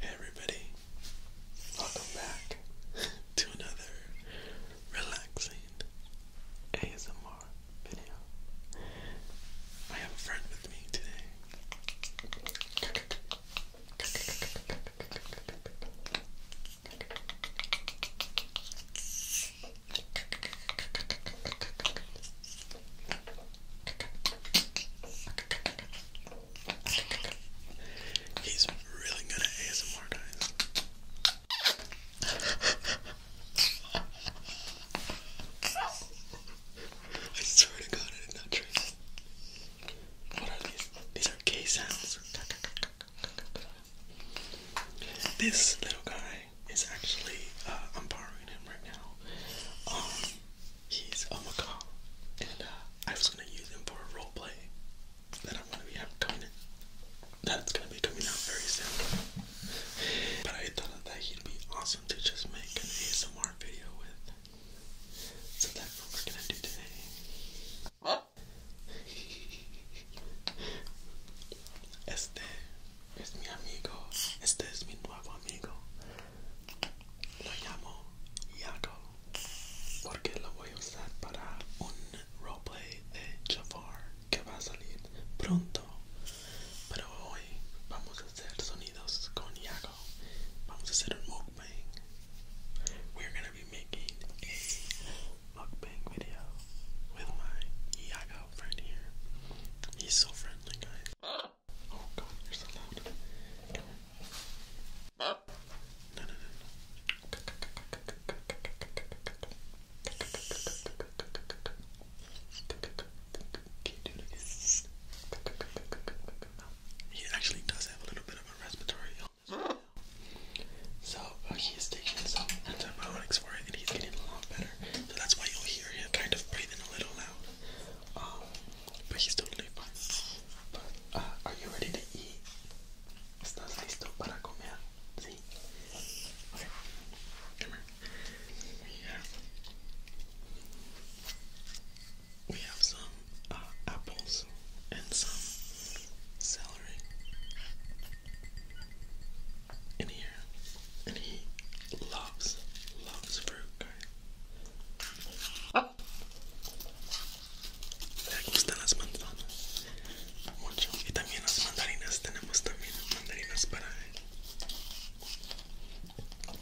Hey everybody, welcome back to another relaxing ASMR video. I have a friend with me today. He's really good at ASMR, guys. I swear to God, I did not trip. What are these? These are K sounds. This little guy is actually, uh, I'm borrowing him right now. Um, he's a macaw, and uh, I was gonna use him for a role play That's gonna be coming out very soon. But I thought that he'd be awesome to just make an ASMR video with. So that's what we're gonna do today. Este es mi amigo. Este es mi nuevo amigo. Lo llamo Yago porque lo voy a usar para un roleplay de Jafar que va a salir pronto. Pero hoy vamos a hacer sonidos con Yago. Vamos a hacer un We're gonna be making a mukbang video with my Iago friend here. He's so friendly, guys. Oh god, you're so loud. No, no, no, He actually does have a little bit of a respiratory so uh, he's taking some antibiotics for it, and he's getting a lot better. So that's why you'll hear him kind of breathing a little loud. Um, but he's totally fine. But uh, are you ready to eat? ¿Estás listo para comer? Sí. Come here. We we have some uh, apples and some celery in here. And he loves, loves fruit, guys. Le oh! gustan las manzanas mucho. Y también las mandarinas. Tenemos también mandarinas para él.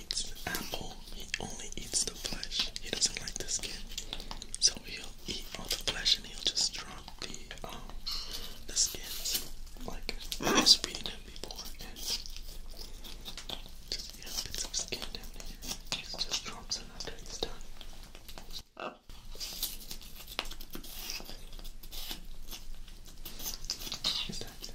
eats an apple, he only eats the flesh. He doesn't like the skin. So he'll eat all the flesh and he'll just drop the um the skins. Like I was reading him before and just yeah, bits of skin down here. He just drops it after he's done. Oh. Is that yeah.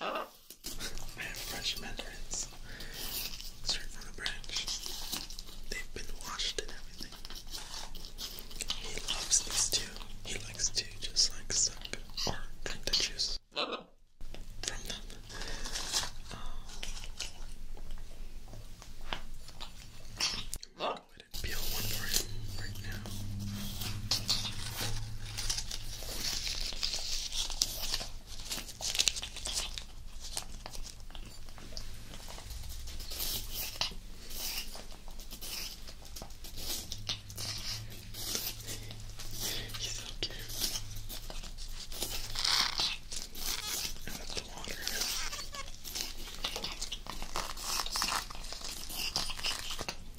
I have fresh mandarins. Straight from the branch. They've been washed and everything. He loves these too. He likes to just like suck or drink the juice from them. Um, I'm going to peel one for him right now. He's so cute. And that's the water.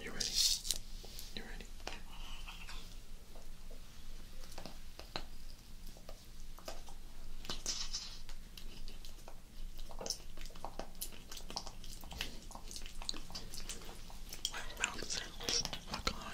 You ready? You ready? My mouth sounds like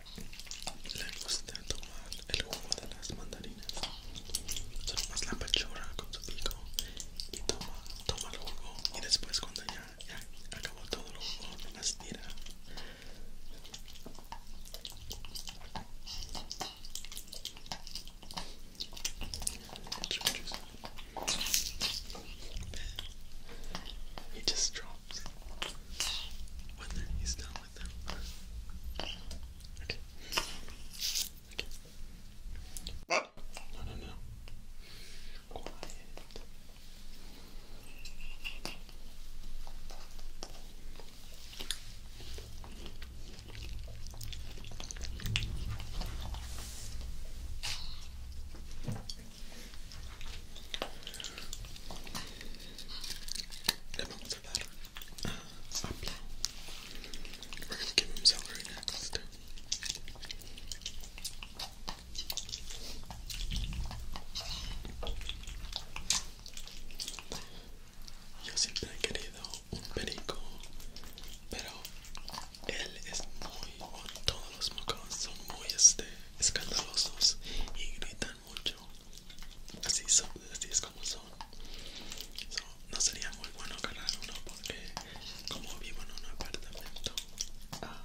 Le gusta tomar el jugo de las mandarinas. Solo más la pechora con su pico y toma, el jugo. Y después, cuando ya, ya acabó todo el jugo, más tira. Y just What then? He's done with them. Okay. Okay. No, no, no. Quiet. Le vamos a dar a apple. We're gonna give him very next. Yo siempre he querido un perico, pero él es muy, todos los mocos son muy este, escandalosos y gritan mucho así, son, así es como son no sería muy bueno calar uno porque como vivo en un apartamento ah,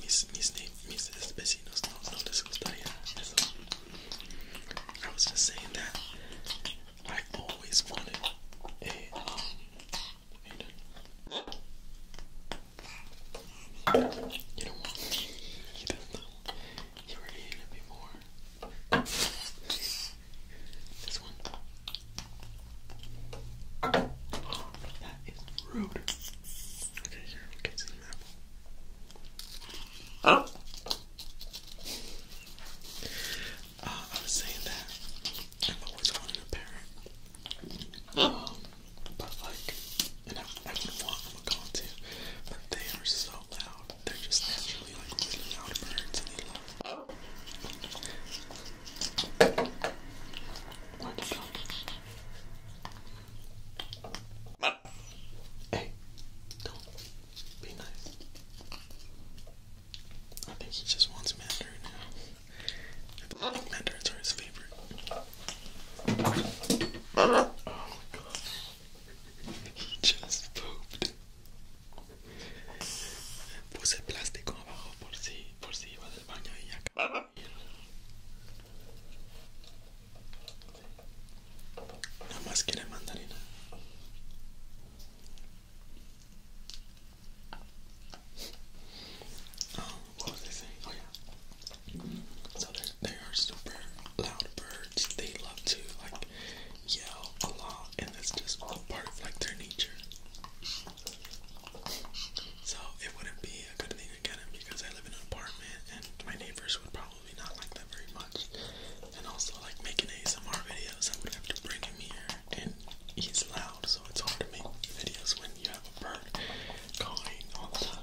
mis, mis, mis vecinos no, no les gustaría eso I was just saying that I always wanted eh, um, a You don't want me. You don't know. You were eating it before. This one. That is rude. Okay, here, we'll get some Oh! I was saying that I've always wanted a parrot. But like, and I, I wouldn't to, but they are so loud. They're just naturally like really loud birds, Hey, don't be nice. I think he just wants Mandarin now. I think Mandarins are his favorite. Oh Just Puse plástico abajo por si, por si iba del baño y acá. Nada más quiere mandarina. Ah. what was I saying? Oh yeah. So there, there are super loud birds. They love to like yell a lot, and that's just part of like their nature. So it wouldn't be a good thing to get him because I live in an apartment, and my neighbors would probably not like that very much. And also, like making ASMR videos, I would have to bring him here, and he's loud, so it's hard to make videos when you have a bird calling all the time.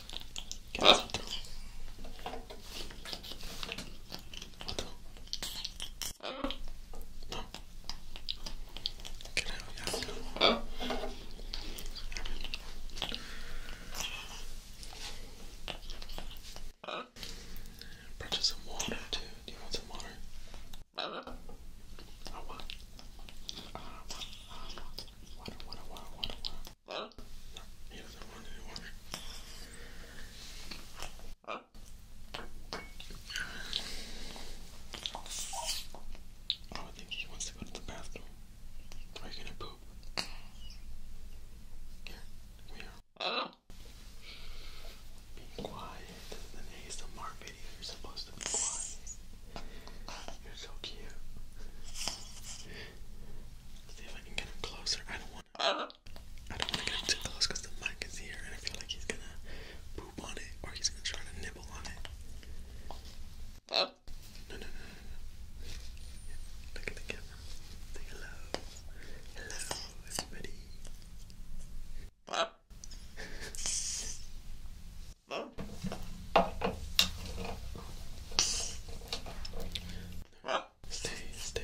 Get something. What the? No. Get out, yeah. Purchase some water too. Do you want some water? Uh-huh. I want. I want. I want. Water, water, water, water, water. Huh? No, he doesn't want any water. Huh? Oh, I think he wants to go to the bathroom. Are you gonna poop? Here, come here. Uh. Be quiet. This is an ASMR video. You're supposed to be quiet. You're so cute. see if I can get him closer. I don't want I don't want to get too close because the mic is here and I feel like he's gonna poop on it or he's gonna try to nibble on it. Oh. No, no, no, no, no. Look at the camera. Say hello. Hello, everybody. Oh. Stay, stay.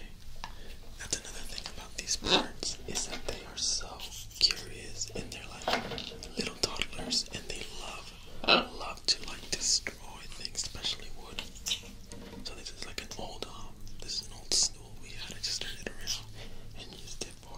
another thing about these birds is that they are so curious and they're like little toddlers and they love, love to like destroy things, especially wood. So this is like an old, um, this is an old stool we had. I just turned it around and used it for,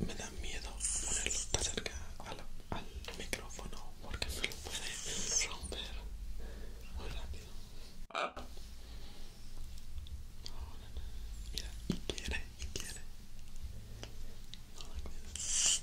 Me da miedo ponerlo al, micrófono porque me lo puede romper muy rápido. Mira, y quiere, quiere. this. this.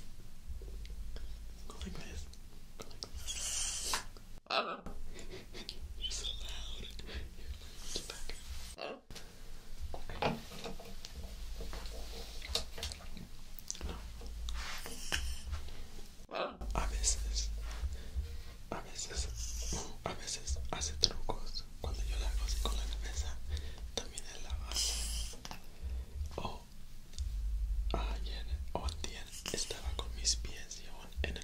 A veces, a veces, a veces hace trucos cuando yo la hago con la cabeza, también la base. O ayer o ayer estaba con mis pies en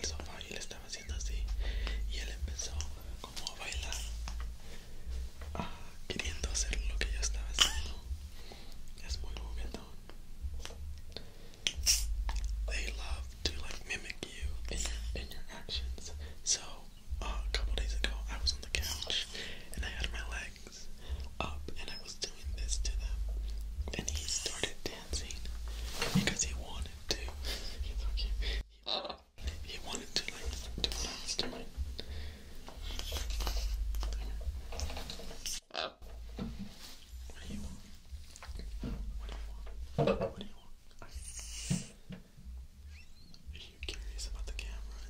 they love to like mimic you in your, actions so a couple days ago I was on the couch and I had my legs up and I was doing this to them and he started dancing because he wanted to. He's so cute he wanted to like do that to mine. what do you want? What do you want? What do you want? Are you curious about the camera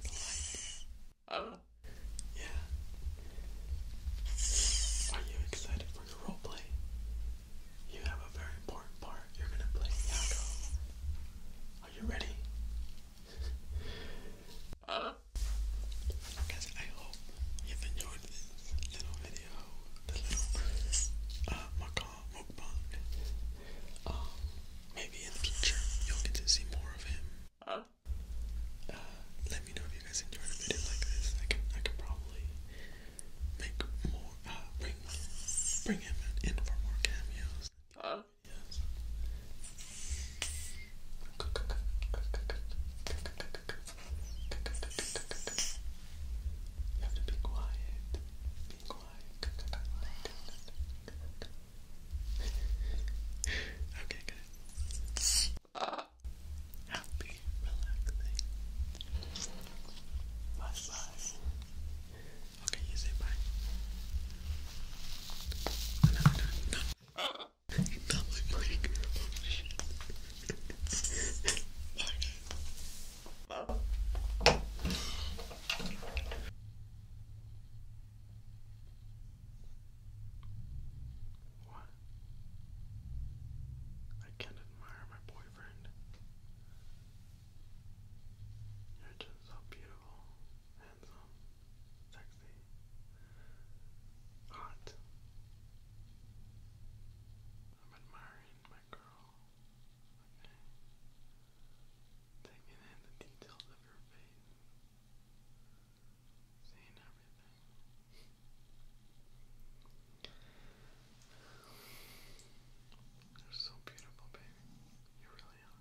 oh. yeah. Are you excited for the play? You have a very important part. You're gonna play Are you ready? guys, I hope you've enjoyed this little video, the little uh, macaw mukbang. Um, maybe in the future you'll get to see more of him. Uh, let me know if you guys enjoyed a video like this. I can I can probably make more, uh, bring, him in for more cameos. Yes. Uh-huh. You have to be quiet. Be quiet. okay, good. Uh relaxing. Bye bye. Okay, you say bye. No, no, no, no. my mic. What? I can't admire my boyfriend boyfriend. You're just so beautiful, handsome, sexy, hot. I'm admiring my girl. Taking in the details of your face. Seeing everything. You're so beautiful, baby. You really are.